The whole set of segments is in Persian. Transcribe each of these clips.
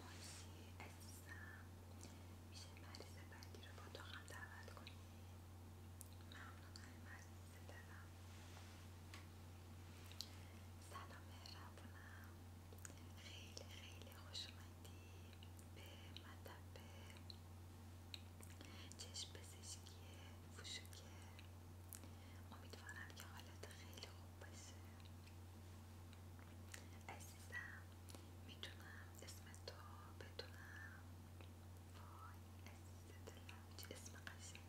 مایسی عزیزم میشه مریض بعدی رو با تو هم دعوت کنی؟ ممنونم عزیز دلم سلام مهربونم خیلی خیلی خوش به مطب چشم پزشکی فوشوکه امیدوارم که حالت خیلی خوب باشه عزیزم میتونم اسم تو بتونم وای عزیزه دلم اسم قشنگی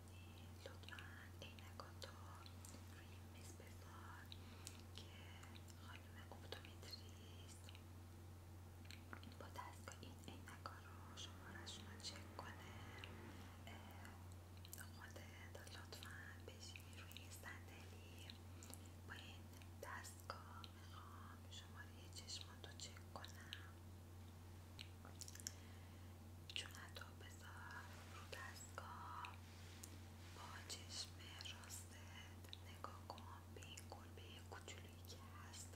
کنی لطفا عینکاتو روی میز بذار که خانم اپتومتریست با دستگاه این عینکا رو شمارشون رو چک کنه لطفا بشین روی صندلی با این دستگاه میخوام شماره رو چک کنم چون حتی رو دستگاه با چشم راستت نگاه کن به این گربه کوچولویی که هست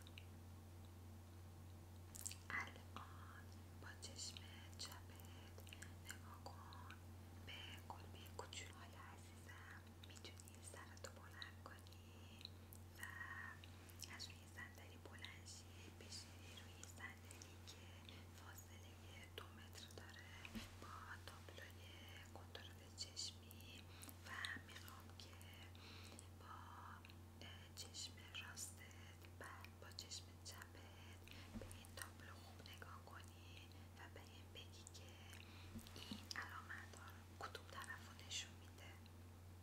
الان با چشم چپت نگاه کن به گربه کوچولو حالا عزیزم میتونی سرتو بلند کنی و روی بلندشی بلند روی صندلی که فاصله دو متر داره با تابلوی کنترل چشمی و میخوام که با چشم راستت بعد با چشم چپت به این تابلو خوب نگاه کنی و به این بگی که این علامت ها رو کدوم نشون میده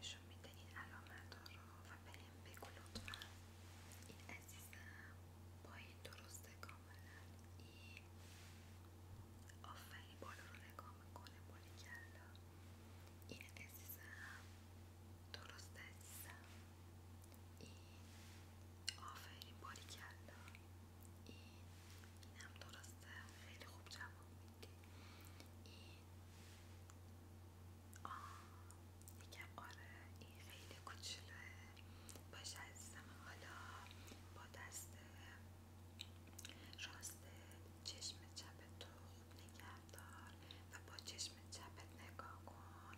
نشون میده این علامت ها و بهم بگو لطفا این عزیزم با این درسته کاملا این آفرین بالا رو نگاه میکنه بولی این عزیزم درست عزیزم این آفرین باری کلا این اینم درسته خیلی خوب جواب این میگم آره این خیلی کوچوله باشه عزیزم حالا با دست راست چشم چپ تو نگهدار و با چشم چپت نگاه کن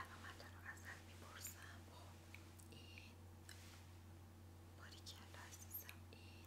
علامت رو ازت میپرسم خب این باریکلا عزیزم این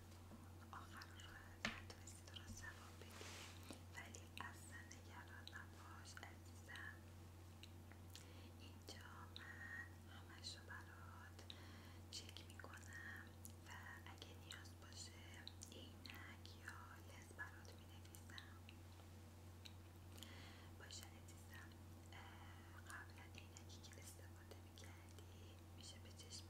آخر رو نتونستی درست جواب بدی ولی اصلا نگران نباش عزیزم اینجا من همش رو برات چک میکنم و اگه نیاز باشه اینک یا لز برات مینویسم باشه عزیزم قبلا اینکی که استفاده میکردی میشه به چشم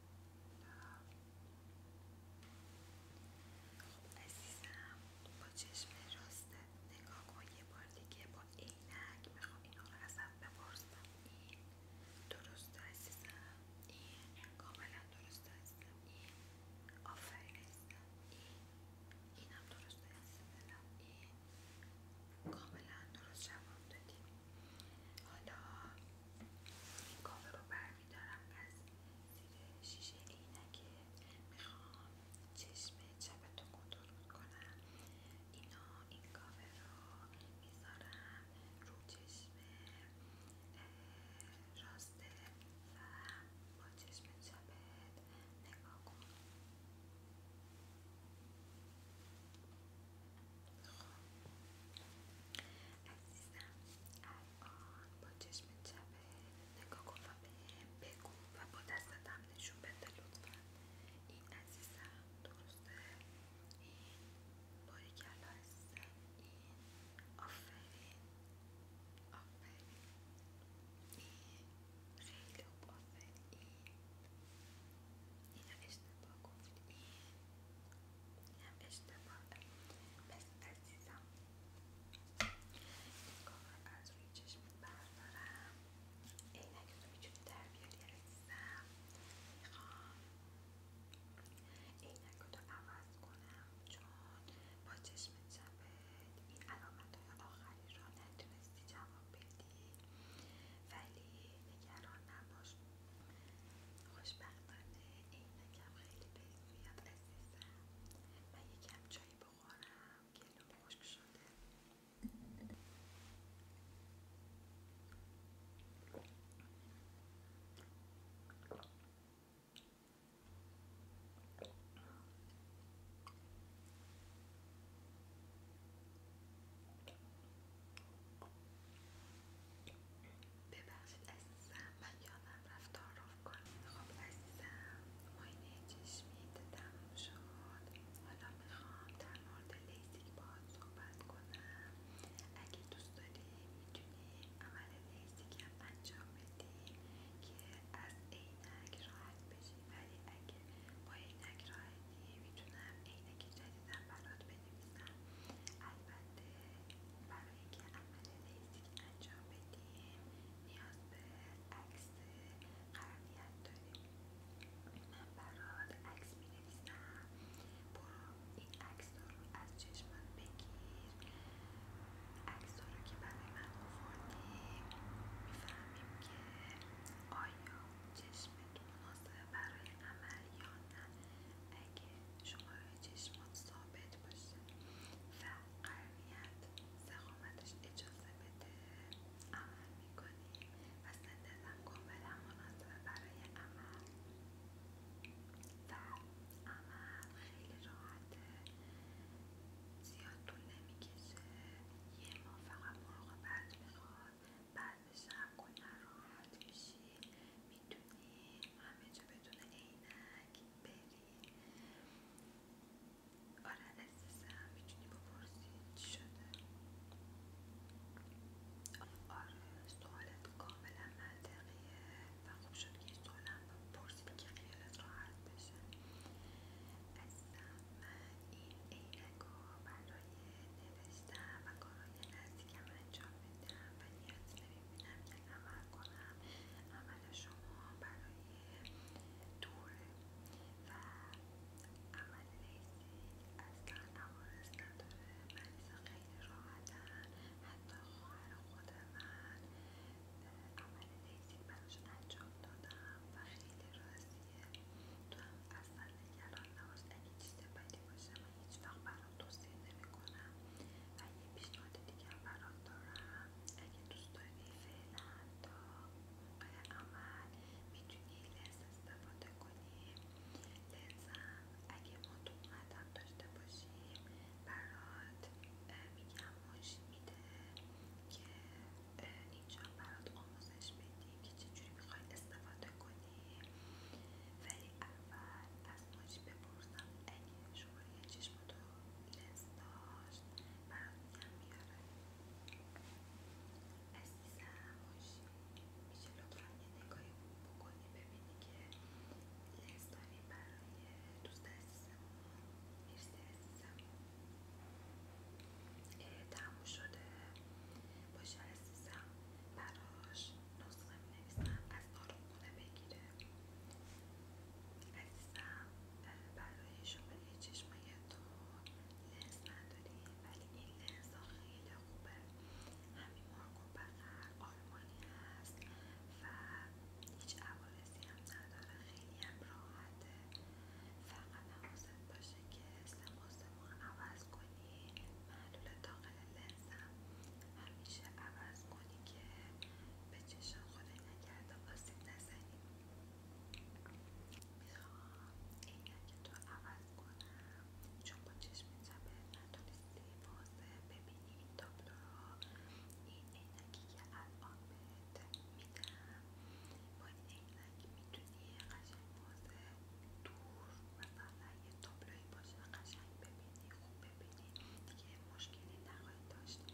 خب عزیزم با چشم راست نگاه کن یه بار دیگه با عینک میخوام اینا رو ازت بپرسم این درسته عزیزم این کاملا درسته عزیزم این آفرین عزیزم این اینم درسته عزیزم این کاملا درست جواب دادی حالا این کافه رو برمیدارم از زیر شیشه اینکه میخوام چشم چپ تو کنترل کنم اینا این کافه رو میذارم رو چشم راسته و با چشم چپت نگاه کن عزیزم الان با چشم چپه نگاه کن و بهم بگو و با دستت هم نشون بده لطفا این عزیزم درسته این باریکلا عزیزم این آفرین آفرین این خیلی خوب آفرین این اینو اشتباه گفت این هم اشتباهه پس عزیزم این کار از روی چشمت بردارم عینک تو میتونی در بیاری عزیزم میخوام عینک رو عوض کنم چون با چشم چپت این علامت های آخری را نتونستی جواب بدی ولی نگران نباش خوشبختانه کم خیلی بهت میاد عزیزم من یکم چایی بخورم گلوم خشک شده ببخشید عزیزم من یادم رفتار تعارف کنم خب عزیزم ماینه چشمی تموم شد حالا میخوام در مورد لیزیک باهات صحبت کنم اگه دوست داری میتونی عمل لیزیک هم انجام بدی که از عینک راحت بشی ولی اگر با عینک راحتی میتونم عینک جدیدن برات البته برای که عمل انجام بدیم نیاز به عکس قرنیت داریم من برات عکس مینویسم برو این عکس رو از چشمن بگیر عکس دارو که برای من آوردیم میفهمیم که آیا چشمت مناسب برای عمل یا نه اگه شماره چشمات ثابت باشه و قرنیت سخامتش اجازه بده عمل میکنیم و سندزم کاملا و برای عمل و عمل خیلی راحته زیاد طول نمیکشه یه ما فقط مراقبت میخواد بعد شب کلا راحت میشی میتونی همه جا بدون عینک بری آره عزیزم میتونی بپرسی چی شده آره سوالت کاملا منطقیه و خوب شد که سوالم پرسیدی که خیالت راحت بشه عزیزم من این عینک ها برای نوشتن و کارهای نزدیکم انجام میدم و نیاز نمیبینم که عمل کنم عمل شما برای دوره و عمل لیزی اصلا عوارض نداره مریض خیلی راحتن حتی خواهر خود من عمل لیزی براش انجام دادم و خیلی راضیه تو هم اصلا نگران نباش اگه چیز بدی باشه من هیچ وقت برات توصیه نمیکنم و یه پیشنهاد دیگه هم برات دارم اگه دوست داری فعلا تا موقع عمل میتونی لنز استفاده کنی لنزم اگه ما تو اومدم داشته باشیم برات میگم ماش میده که اینجا برات آموزش بدیم که چجوری میخواید استفاده کنی ولی اول از موجی بپرسم اگه شما یه چشمتو لنس داشت برات میگم میاره عزیزم خوشی میشه لطفا یه نگاهی بکنی ببینی که لنز داریم برای دوست عزیزمون مرسی عزیزم تموم شده باشه عزیزم براش می نویسم از آرومخونه بگیره عزیزم برای شما چشمایتون لنز نداری ولی این لنزا خیلی خوبه همین مارکو بغل آلمانی هست و هیچ عوارضی هم نداره خیلی هم راحته فقط حواست باشه که سماس ما عوض کنی محلول داخل لنزم همیشه عوض کنی که به چشم خودت نکرده آسیب نزنی میخوام عینک تو عوض کنم چون با چشم چپه نتونستی واضح ببینی این تابلو این عینکی که الان بهت میدم اگه میتونی یه قشنگ بازه دور و یه تابلوی باشه قشنگ ببینی خوب ببینید، دیگه مشکلی نخواهی داشت این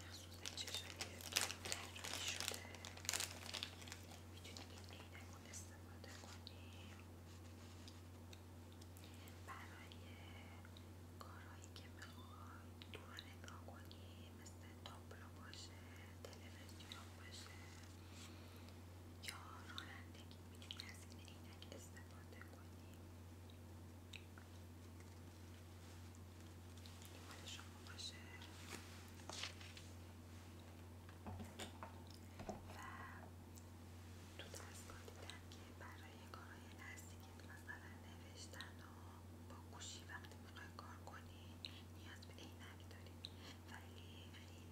مخصوص در شده میتونی این استفاده کنید. برای کارهایی که میخوای دوران نگاه کنی مثل تابلو باشه تلویزیون باشه یا رانندگی میتونی از این عینک استفاده کنی شما باشه و تو دستگاه دیدم که برای کارهای نزدیکی مثلا نوشتن و با گوشی وقتی برای کار کنی نیاز به عینک دارید ولی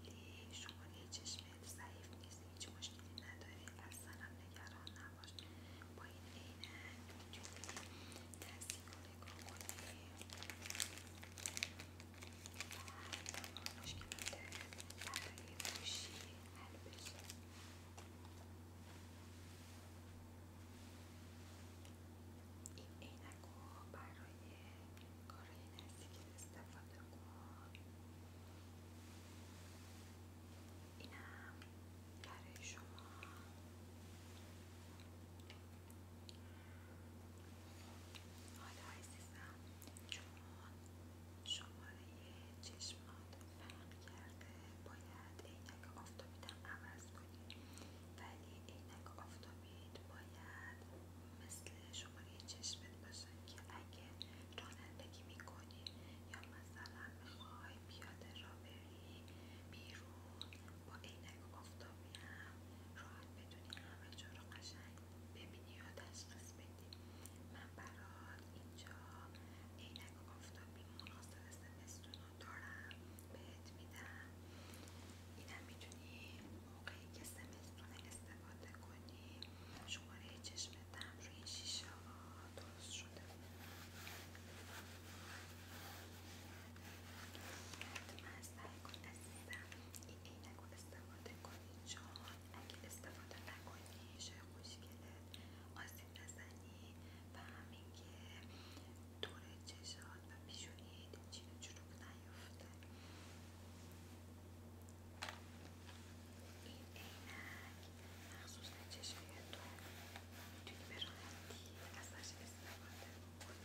خیلی شما چشمت ضعیف نیست هیچ مشکلی نداره، اصلا نگران نباش با این عینک میتونی کار کنید نگاه کنی مشکلات برای گوشی حل این عینک رو برای کارهای نزدیکی استفاده کن اینم برای شما حالا عزیزم چون شماره چشمات فرق کرده باید عینک آفتابیتم عوض کنید ولی عینک آفتابید باید مثل شماره چشم باشه که اگه رانندگی میکنی یا مثلا میخوای پیاده را بیرون با عینک آفتابی هم راحت بدونی همه جا قشنگ ببینی یا تشخیص بدی من برات اینجا عینک آفتابی مناسب سمستون رو دارم بهت میدم اینم میتونی موقعی که سمستون استفاده کنی شماره چشمت هم روی شیشه درست شده حتما سعی کن عزیزم این عینک رو استفاده کنی اگه استفاده نکنی شای خوشگلت آسیب نزنی و همین که دور چشات و پیشونید چین چروک نیفته این عینک مخصوص چشمای تو میتونی به ازش استفاده کنی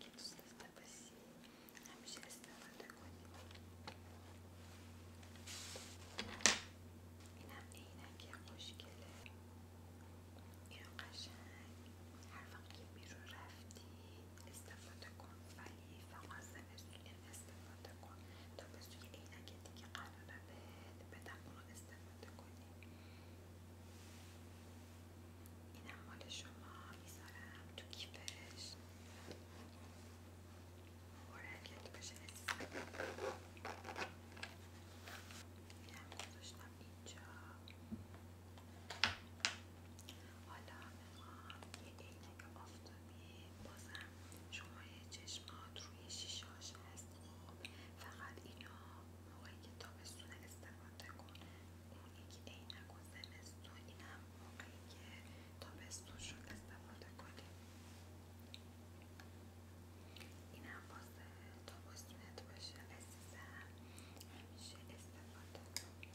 که دوست داشته همیشه استفاده کنی اینم عینک خوشگله این قشنگ هر وقت که بیرون رفتی استفاده کن ولی فقط این استفاده کن تا به سوی عینک دیگه قرار بهت بدم اونو استفاده کنی اینم مال شما میذارم تو کیفش مبارکت باشه اینم گذاشتم اینجا حالا میخوام یه عینک آفتابی بازم شما چشمات روی شیشاش هست خب فقط اینو موقعی که تابستون استفاده کن اون یکی عینک و این هم موقعی که تابستونش شده استفاده کنیم این هم واسه تابستونت باشه عزیزم همیشه استفاده این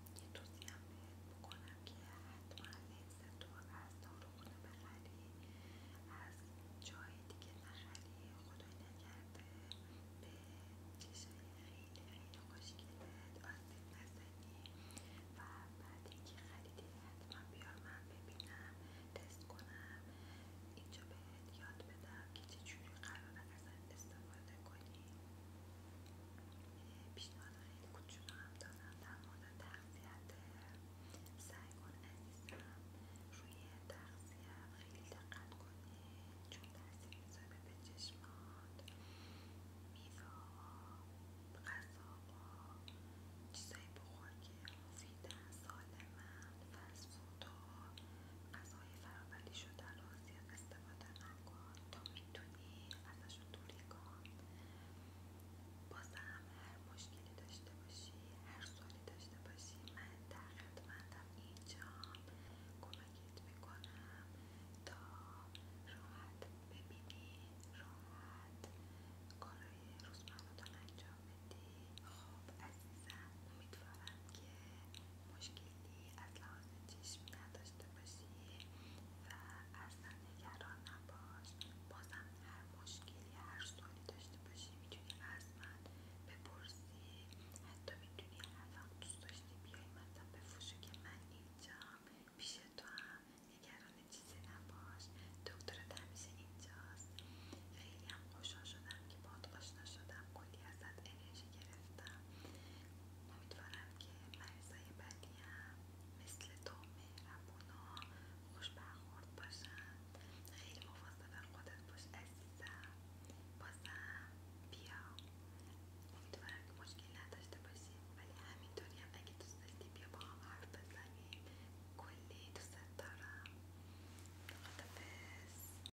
یه توصیه هم بهت بکنم که حتما تو از داروخونه بخری از جای دیگه نخری خدای نگرد به چشای خیلی خیلی خوشگلت آسیب نزنی و بعد اینکه خریدی حتما بیار من ببینم تست کنم اینجا بهت یاد بدم که چجوری قرار از استفاده کنی پیشنهاد خیلی کوچولو هم دادم در مورد تغذیت سعی کن عزیزم روی تغذیه خیلی دقت کنی چون تاثیر میذاره به چشمات میوهها غذاها چیزایی بخور که مفیدن سالمن فسفودها غذاهای فرابلی شده رو زیاد استفاده نکن تا میتونی ازشون دوری کن هم هر مشکلی داشته باشی هر سوالی داشته باشی من در خدمتم اینجا کمکت میکنم تا راحت ببینی راحت کارای روزمرتان انجام بدی خب عزیزم امیدوارم که مشکل خیلی از لحاظ چشمی نداشته باشی و اصلا نگران نباش بازم هر مشکلی هر سوالی داشته باشی میتونی از من بپرسی حتی میتونی هر دوست داشتی بیای مثلا بفروشو که من اینجام پیش تو هم نگران چیزی نباش دکترت همیشه اینجاست خیلی هم خوشحال شدم که باد آشنا شدم کلی ازت انرژی گرفتم امیدوارم که مریضای بعدی هم مثل تو مهربونا خوش برخورد باشند خیلی مواظب خودت باش عزیزم بازم بیا امیدوارم که مشکل نداشته باشی ولی همینطوری هم اگه دوست بیا با هم حرف بزنیم کلی دوست دارم خدافز